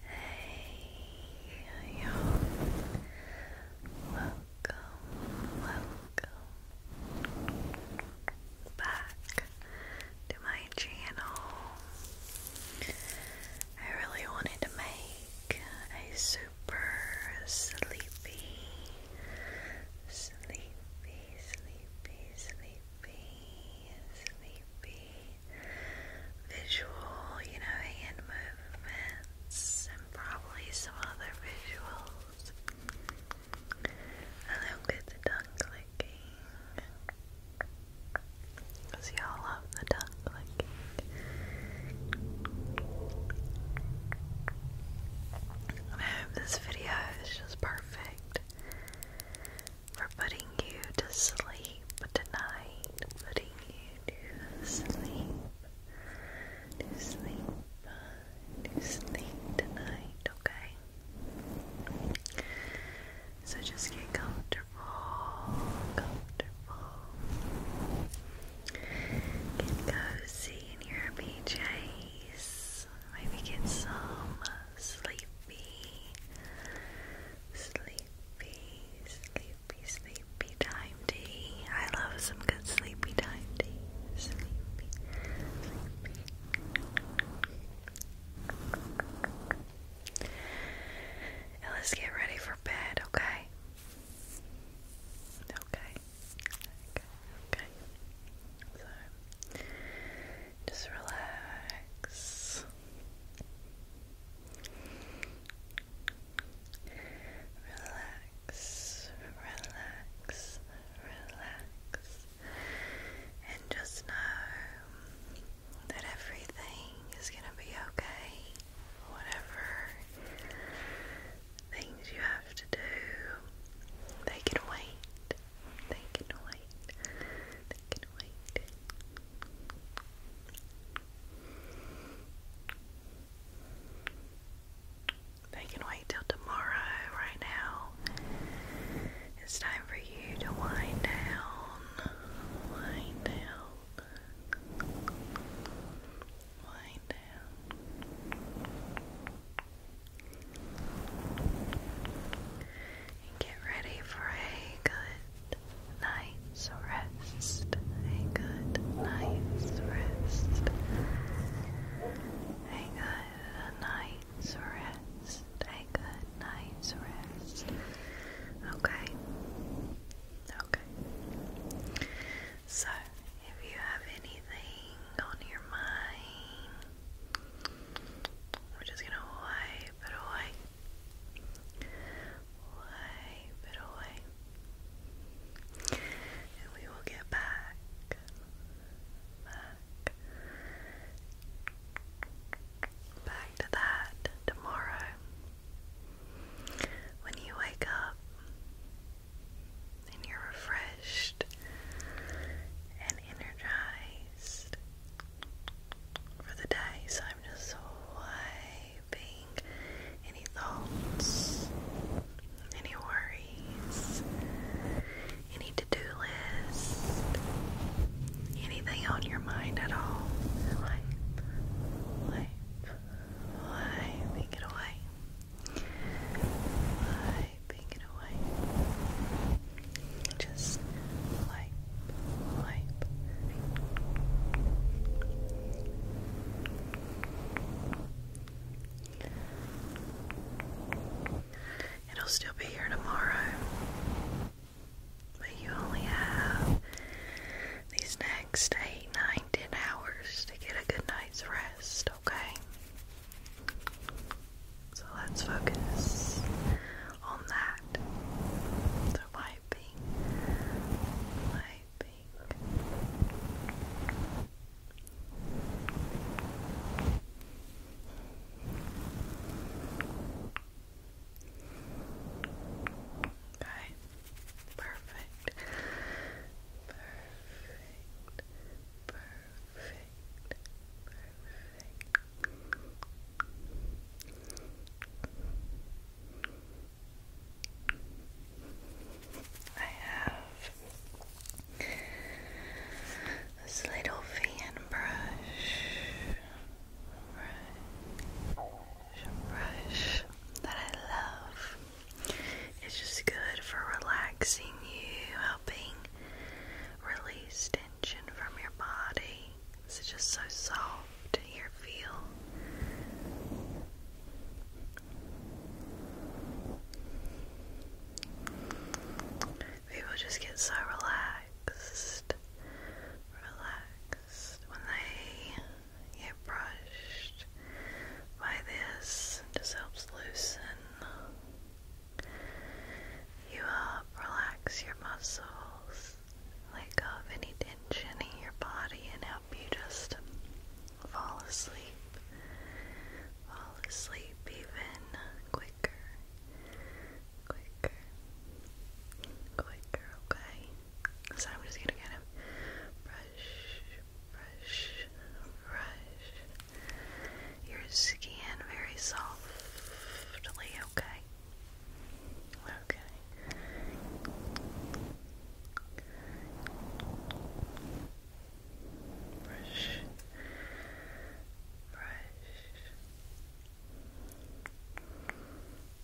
Hey, yo, welcome, welcome back to my channel. I really wanted to make a super sleepy, sleepy sleepy, sleepy, sleepy visual, you know, hand movements and probably some other visuals along with the tongue clicking because y'all love the tongue clicking I hope this video is just perfect for putting you to sleep tonight. Putting you to sleep. To sleep. To sleep tonight, okay? So just get comfortable. Comfortable. Get cozy in your PJs. Maybe get some sleepy, sleepy, sleepy, sleepy time I love some good sleepy time let's get ready for bed, Okay. Okay. Okay, so just relax. Relax, relax, relax, and just know that everything is going to be okay, whatever things you have to do. They can wait. They can wait. They can wait. They can wait till tomorrow. Right now, it's time for you to wind down. Wind down. Wind and get ready for a good night's rest. A good night's rest. A good night's rest. A night's rest. Okay. Okay. So, if you have anything on your mind, we're just gonna wipe it away. Wipe it away. And we will get back. Back. Back to that tomorrow. When you wake up, and you're refreshed and energized for the day. So I'm just wiping any thoughts, any worries, any to do list, anything on your mind at all. Wipe, wipe, wiping it away. Wiping it away. Just wipe, wipe. It'll still be here tomorrow, but you only have these next 8, 9, hours to get a good night's rest, okay? So let's focus on that. So wiping, wiping. Okay. Perfect. Perfect. Perfect. Perfect. I have this little fan brush brush that I love. It's just good for relaxing you, helping release tension from your body. It's just so soft in feel. People just get so relaxed, relaxed when they get brushed by this. Just helps loosen you up, relax your muscles, let go of any tension in your body, and help you just fall asleep. Fall asleep even quicker. Quicker. Quicker, okay? So I'm just gonna get him. Brush, brush, brush your skin very softly, okay? Okay. brush, brush,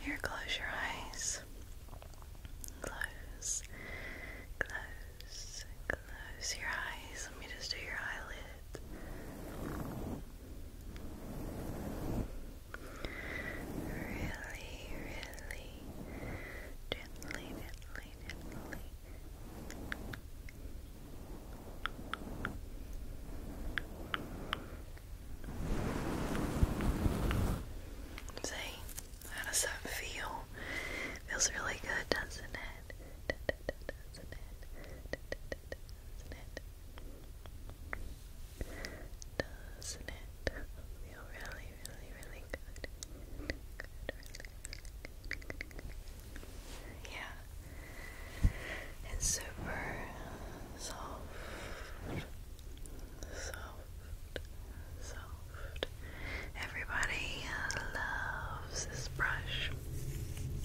Here, close your eyes. Close, close, close your eyes. Let me just do your eyelid. Really, really gently, gently, gently. See? How does that feel? Feels really good, doesn't it? doesn't it? doesn't it? Doesn't it feel really, really, really good. Yeah, it's super soft, soft, soft. Everybody loves this brush.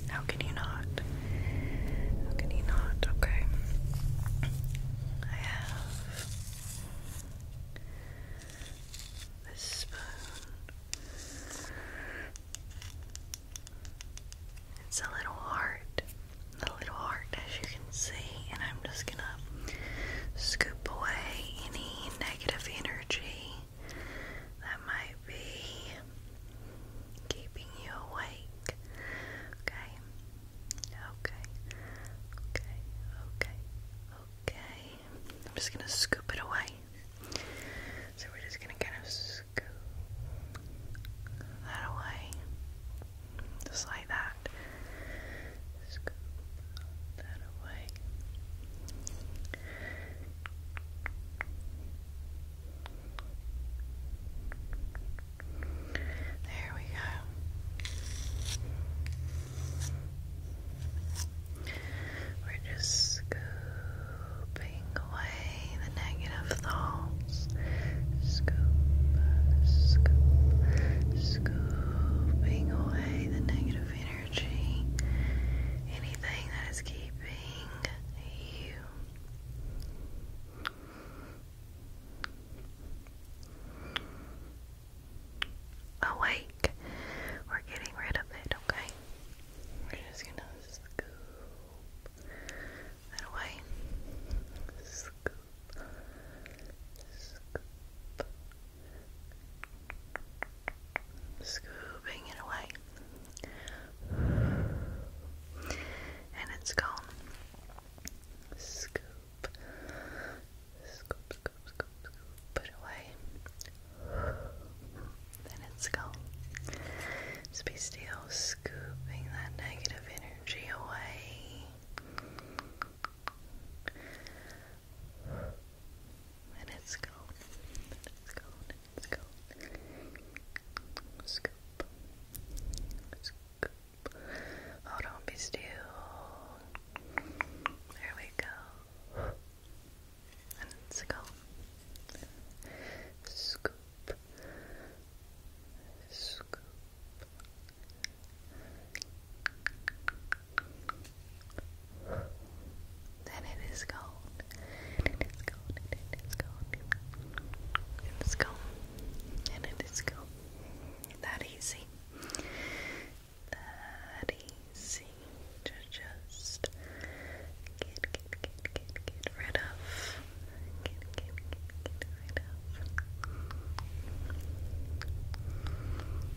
How can you not? How can you not? Okay. I have this spoon. It's a little heart, a little heart as you can see, and I'm just gonna scoop away any negative energy that might be keeping you awake. Okay, okay, okay, okay, okay. I'm just gonna scoop it away. So we're just gonna kind of scoop that away. Just that. Scoop that away. There we go. We're just scooping away the negative thoughts. Scoop, scoop, scooping away the negative energy. Anything that is keeping you. Awake. We're getting rid of it, okay? We're just gonna scoop, that away. Scoop, scoop, scooping it away, and it's gone. Scoop, scoop, scoop, scoop, scoop away. Then it's gone. Just be still scooping that negative energy away. And it's gone. And it's gone. And Scoop. Scoop. Hold oh, on, be There we go and let's go. Scoop, scoop. Then it is cold. And it is cold. And it is cold. It is cold. And it is cold. That easy. That easy to just get, get, get, get, get rid of. Get, get, get, get rid of.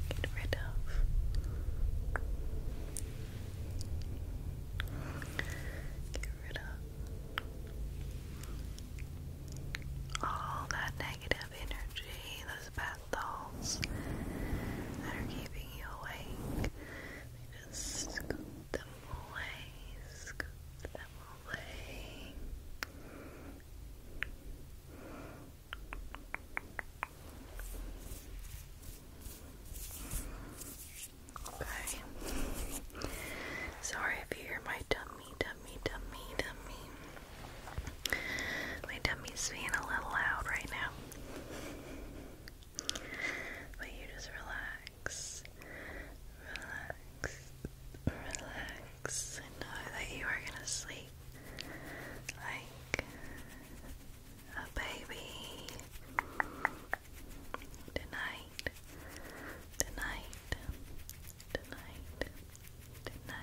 Get rid of. Get rid of all that negative energy, those bad thoughts that are keeping you awake. Just scoop them away, Okay. Sorry if you hear my dummy, dummy, dummy, dummy. My dummy's being a little loud right now. But you just relax, relax, relax, and know that you are gonna sleep like a baby tonight, tonight, tonight, tonight.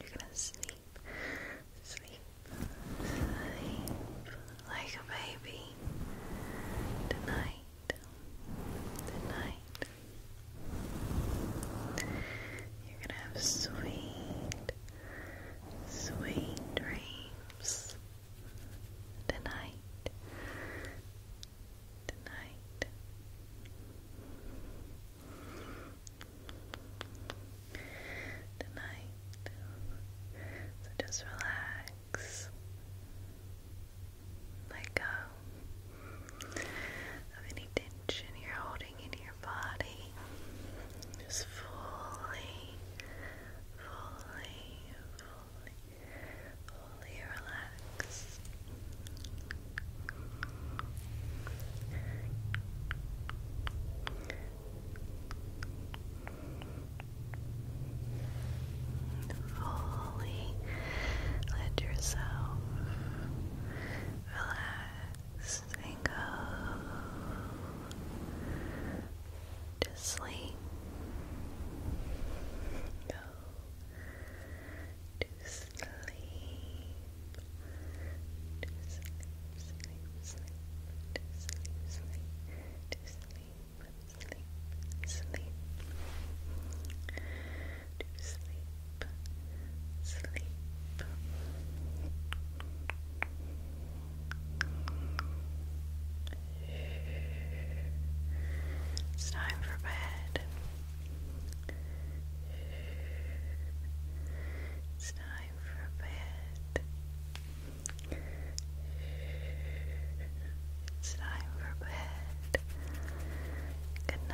You're gonna sleep, sleep, sleep like a baby tonight, tonight. You're gonna have sweet, sweet dreams tonight, tonight. Tonight. So just relax. Let go of any tension you're holding in your body. Just fully, fully, fully, fully relax. Fully let yourself relax and go to sleep. Go sleep, sleep, sleep, sleep, sleep, sleep, sleep, sleep, sleep, sleep, sleep. It's time for bed. It's time for bed. It's time for bed. Good night.